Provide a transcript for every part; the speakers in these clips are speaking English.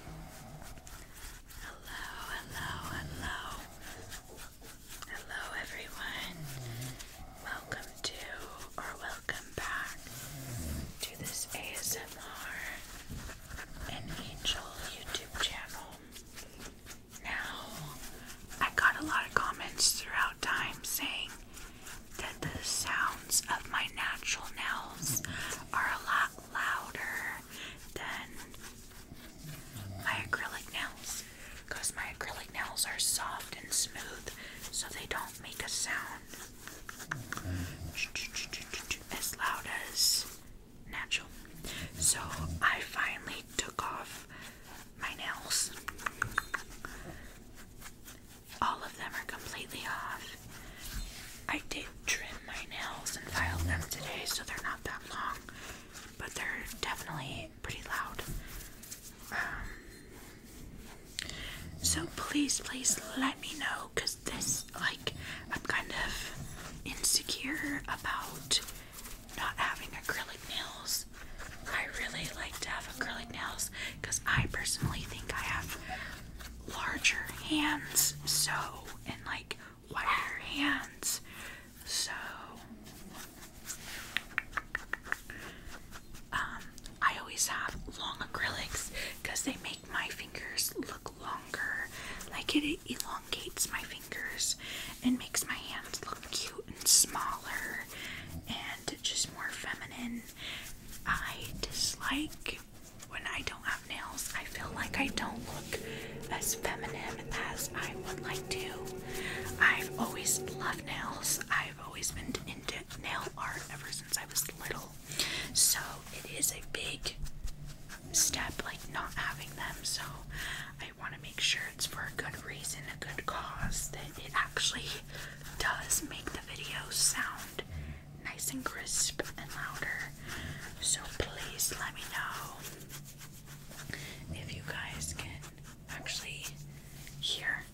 Hello, hello, hello. Hello, everyone. Welcome to or welcome back to this ASMR and Angel YouTube channel. Now, I got a lot of comments throughout time saying that the sounds of my natural nails are a lot louder than my acrylic nails because my acrylic nails are soft and smooth so they don't make a sound as loud as natural. So I finally took off my nails. All of them are completely off. I did trim my nails and filed them today, so they're not that long, but they're definitely pretty loud. Um, so please, please let me know, cause this, like, I'm kind of insecure about not having acrylic nails. I really like to have acrylic nails, cause I personally think I have larger hands, so, and like wider hands, so. Um, I always have long acrylics because they make my fingers look longer. Like it elongates my fingers and makes my hands look cute and smaller and just more feminine. I dislike I when I don't have nails, I feel like I don't look as feminine as I would like to. I've always loved nails. I've always been into nail art ever since I was little. So it is a big step like not having them. So I want to make sure it's for a good reason, a good cause that it actually does make the video sound nice and crisp and louder. So please let me know if you guys can actually hear.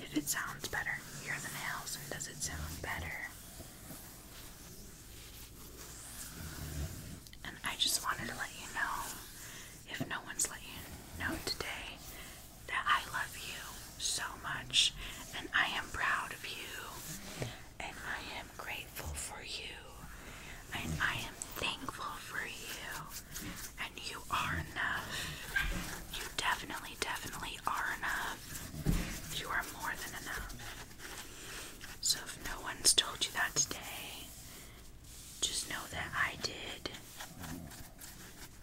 If it sounds better, hear the nails, does it sound better? And I just wanted to let you know if no one's let you know today that I love you so much and I am proud of you and I am grateful for you and I am thankful for you and you are enough. You definitely, definitely are enough. You are more than enough. So if no one's told you that today, just know that I did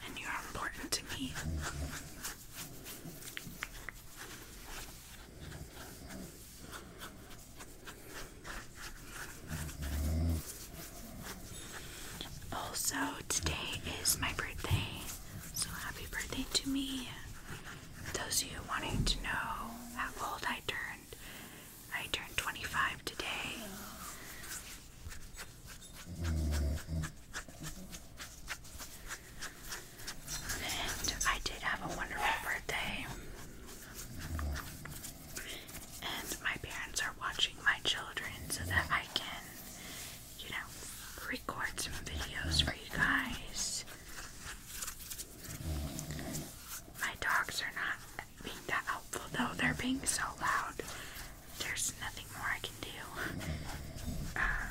and you're important to me. Also, today is my birthday, so happy birthday to me. Those of you wanting to know how old I turned, I turned 25 today. And I did have a wonderful birthday. And my parents are watching my children so that I can, you know, record some videos for you guys. My dogs are not being that helpful though. They're being so loud. There's nothing more I can do. Uh,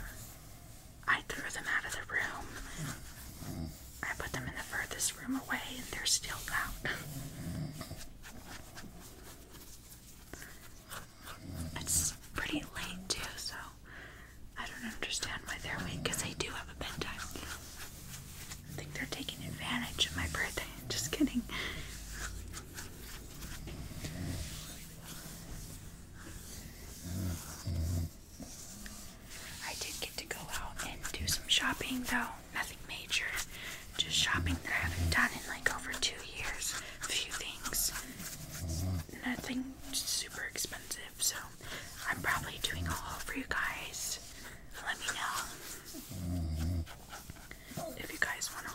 I threw them out of the room. I put them in the furthest room away and they're still loud. It's pretty late too, so I don't understand why they're awake because they do have a bedtime. I think they're taking advantage of my birthday. Just kidding. I did get to go out and do some shopping though, nothing major. Just shopping that I haven't done in like over two years. A few things. Nothing super expensive, so I'm probably doing a haul for you guys. Let me know if you guys want to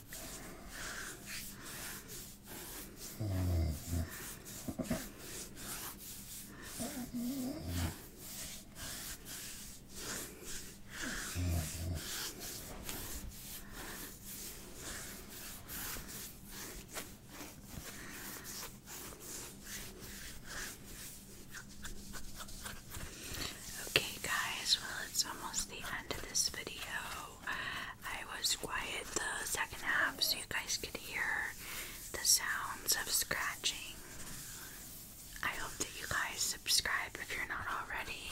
Okay, guys, well, it's almost the end of this video. I was quiet the second half so you guys could hear the sounds of scratching. I hope that you guys subscribe if you're not already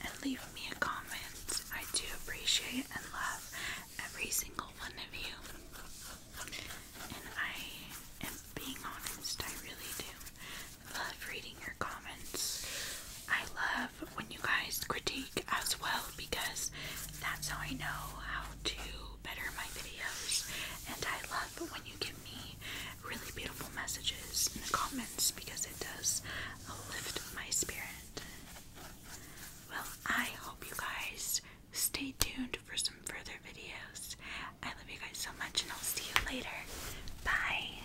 and leave me a comment. I do appreciate and love every single one of you. And I am being honest, I really do love reading your comments. I love when you guys critique as well because that's how I know how to better my videos. And I love when you give me really beautiful messages in the comments because it does lift my spirit. Well, I hope you guys stay tuned for some further videos. I love you guys so much, and I'll see you later. Bye.